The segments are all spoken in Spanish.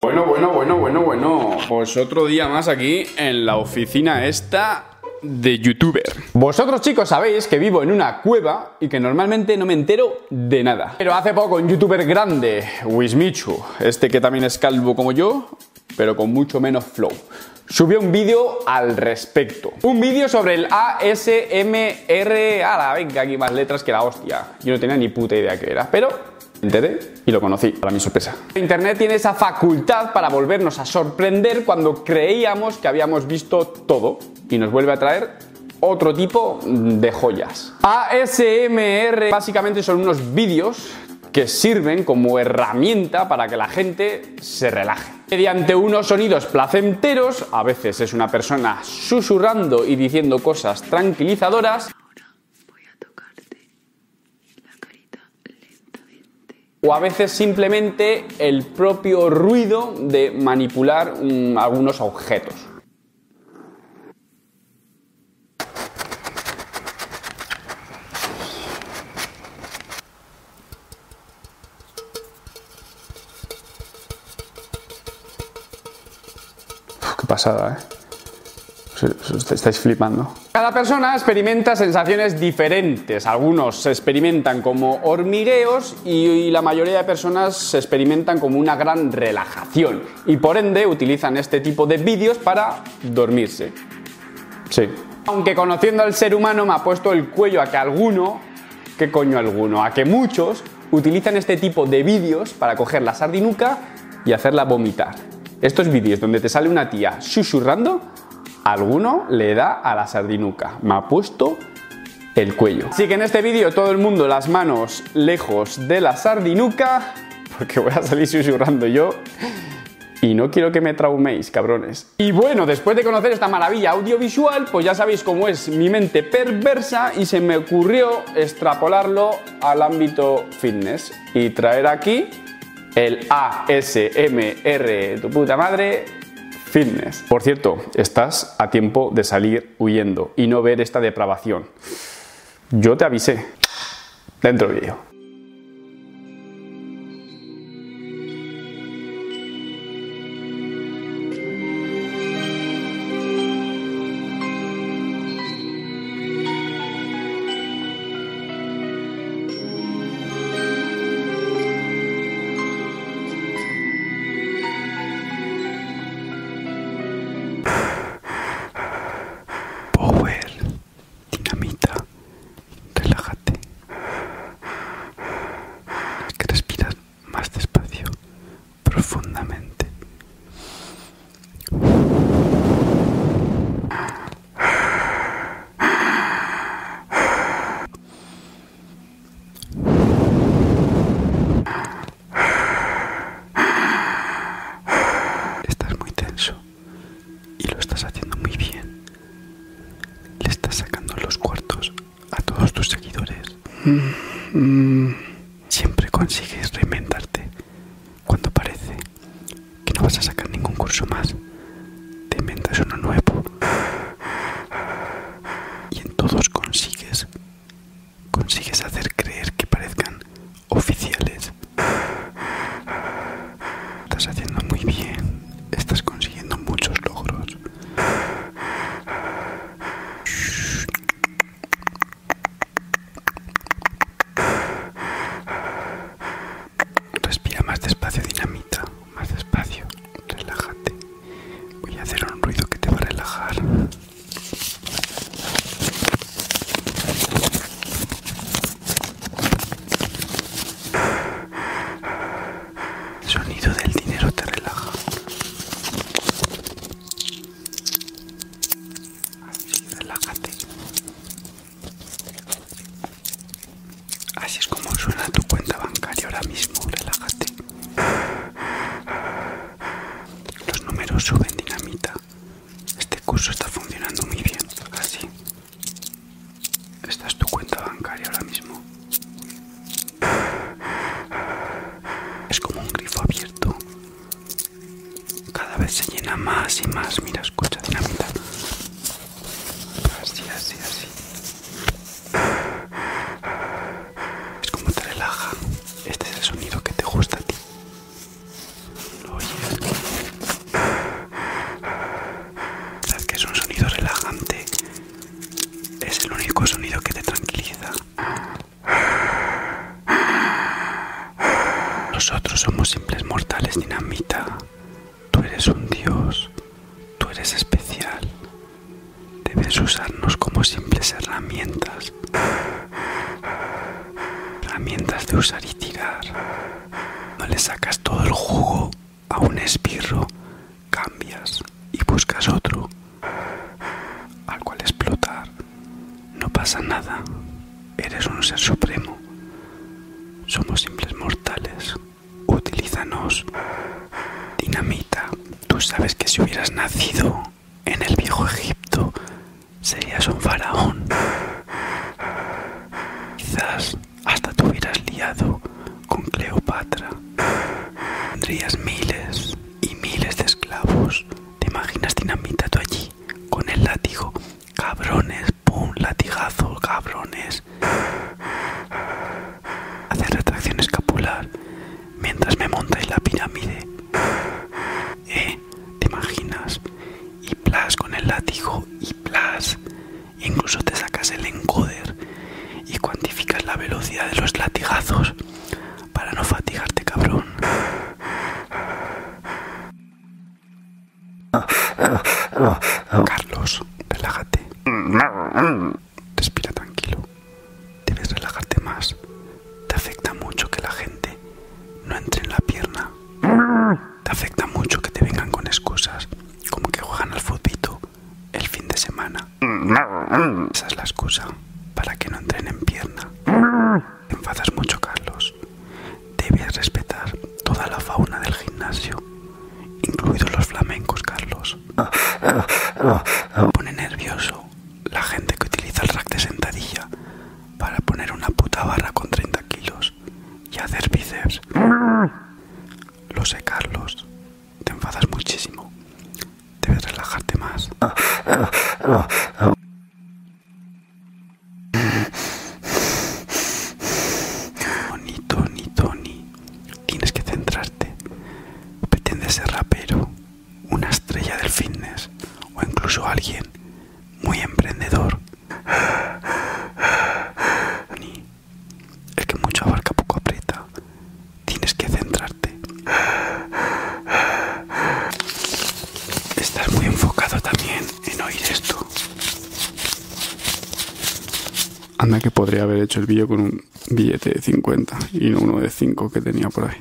Bueno, bueno, bueno, bueno, bueno. Pues otro día más aquí en la oficina esta de youtuber. Vosotros chicos sabéis que vivo en una cueva y que normalmente no me entero de nada. Pero hace poco un youtuber grande, Wismichu, este que también es calvo como yo, pero con mucho menos flow, subió un vídeo al respecto. Un vídeo sobre el ASMR... la venga, aquí más letras que la hostia. Yo no tenía ni puta idea que era, pero enteré y lo conocí, para mi sorpresa. Internet tiene esa facultad para volvernos a sorprender cuando creíamos que habíamos visto todo y nos vuelve a traer otro tipo de joyas. ASMR básicamente son unos vídeos que sirven como herramienta para que la gente se relaje. Mediante unos sonidos placenteros, a veces es una persona susurrando y diciendo cosas tranquilizadoras, voy a tocarte la carita lentamente. O a veces simplemente el propio ruido de manipular algunos objetos qué pasada, ¿eh? estáis flipando. Cada persona experimenta sensaciones diferentes. Algunos se experimentan como hormigueos y la mayoría de personas se experimentan como una gran relajación. Y por ende utilizan este tipo de vídeos para dormirse. Sí. Aunque conociendo al ser humano me ha puesto el cuello a que alguno, qué coño alguno, a que muchos utilizan este tipo de vídeos para coger la sardinuca y hacerla vomitar. Estos vídeos donde te sale una tía susurrando, alguno le da a la sardinuca. Me ha puesto el cuello. Así que en este vídeo todo el mundo las manos lejos de la sardinuca, porque voy a salir susurrando yo. Y no quiero que me trauméis, cabrones. Y bueno, después de conocer esta maravilla audiovisual, pues ya sabéis cómo es mi mente perversa y se me ocurrió extrapolarlo al ámbito fitness y traer aquí el ASMR, tu puta madre, fitness. Por cierto, estás a tiempo de salir huyendo y no ver esta depravación. Yo te avisé. Dentro del vídeo. Power, dinamita, relájate. Que respiras más despacio, profundamente. Estás muy tenso y lo estás haciendo muy bien. Le estás sacando los cuartos a todos tus seguidores. Mm, mm. Siempre consigues reinventarte cuando parece que no vas a sacar ningún curso más. Te inventas uno nuevo y en todos consigues consigues hacer creer que parezcan oficiales. Estás haciendo muy bien, estás consiguiendo muchos logros. Respira más despacio, dinamita, más despacio, relájate. Voy a hacer un ruido que te va a relajar. sonido del dinero te relaja. Así, Así es como suena tu cuenta bancaria ahora mismo, relájate. Los números suben dinamita. Este curso está funcionando muy bien, así. Esta es tu cuenta bancaria ahora mismo. Es como un grifo abierto. Cada vez se llena más y más. Mira, escucha, dinamita. Así, así, así. Es como te relaja. Este es el sonido que te gusta a ti. ¿Lo oyes? que es un sonido relajante. Es el único sonido que te tranquiliza. Nosotros somos simples mortales dinamita. Tú eres un dios. Tú eres especial. Debes usarnos como simples herramientas. Herramientas de usar y tirar. No le sacas todo el jugo a un espirro, Cambias y buscas otro al cual explotar. No pasa nada, eres un ser supremo. Somos simples mortales. Utilízanos. Dinamita, tú sabes que si hubieras nacido en el viejo Egipto, serías un faraón. Quizás hasta te hubieras liado con Cleopatra. Tendrías miles y miles de esclavos. ¿Te imaginas dinamita tú allí? Con el látigo. Cabrones, pum, latigazos, cabrones. Hacer retracción escapular mientras me montáis la pirámide. ¿Eh? ¿Te imaginas? Y plas con el látigo y plas. Incluso te sacas el encoder y cuantificas la velocidad de los latigazos para no fatigarte, cabrón. Carlos, relájate. Respira tranquilo. Debes relajarte más. Te afecta mucho que la gente no entre en la pierna. Te afecta mucho que te vengan con excusas, como que juegan al fútbol el fin de semana. Esa es la excusa para que no entren en pierna. Te enfadas mucho, Carlos. Debes respetar toda la fauna del gimnasio, incluidos los flamencos, Carlos. pone nervioso la gente que utiliza el rack de sentadilla para poner una puta barra con 30 kilos y hacer bíceps. Lo sé, Carlos. Te enfadas muchísimo. Debes relajarte más. Tony, Tony, Tony, tienes que centrarte. pretendes ser rapero, una estrella del fitness o incluso alguien muy emprendedor. Ni es que mucho abarca poco aprieta. Tienes que centrarte. Estás muy enfocado también en oír esto. Anda que podría haber hecho el vídeo con un billete de 50 y no uno de 5 que tenía por ahí.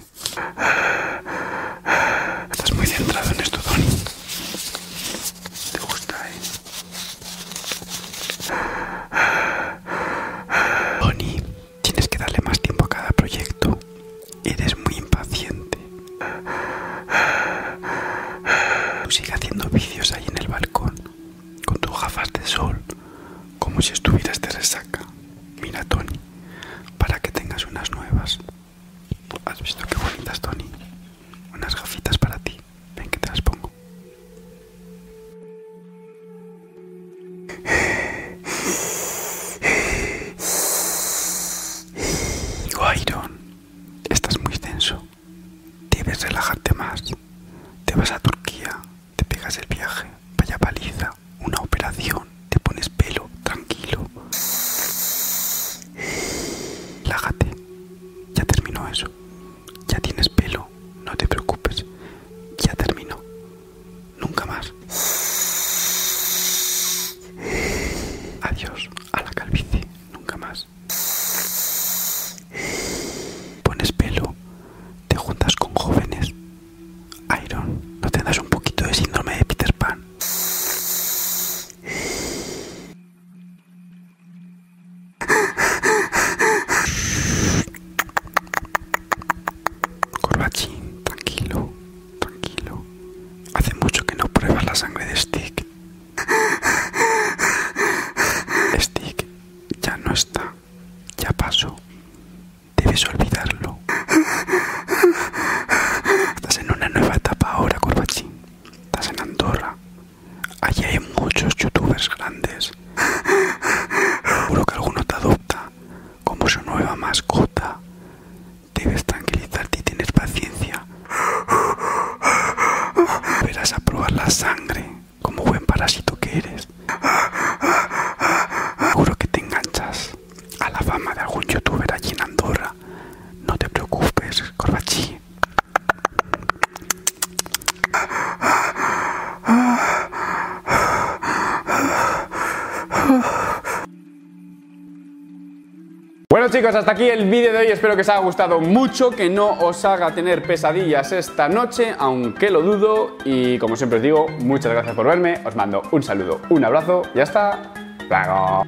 Estás muy centrado en esto, Tony. Te gusta, eh. Tienes que darle más tiempo a cada proyecto. Eres muy impaciente. Tú sigue haciendo vicios ahí en el balcón, con tus gafas de sol, como si estuvieras de resaca. Mira, Tony, para que tengas unas nuevas. ¿Has visto qué bonitas, Tony? Unas gafitas para ti. Ven que te las pongo. Iron, estás muy tenso. Debes relajarte más. Te vas a Turquía, te pegas el viaje, vaya paliza, una operación, te pones pelo, tranquilo. lágate, Ya terminó eso. Ya tienes pelo, no te preocupes. Ya terminó. Nunca más. Adiós a la calvicie, nunca más. Pones pelo, te juntas con jóvenes. Iron, ¿no tendrás un poquito de síndrome de Peter Pan? Corbachín, tranquilo, tranquilo. Hace mucho que no pruebas la sangre de Stick. Stick ya no está, ya pasó. Debes olvidarlo. Estás en una nueva etapa ahora, Corbachín. Estás en Andorra. Allí hay muchos youtubers grandes. Seguro que alguno te adopta como su nueva mascota. Debes tranquilizarte y tener paciencia. Verás a probar la sangre como buen parásito que eres. Seguro que te enganchas a la fama de algún youtuber allí en Andorra. No te preocupes, Corbachi. Bueno chicos, hasta aquí el vídeo de hoy, espero que os haya gustado mucho, que no os haga tener pesadillas esta noche, aunque lo dudo, y como siempre os digo, muchas gracias por verme, os mando un saludo, un abrazo y hasta luego.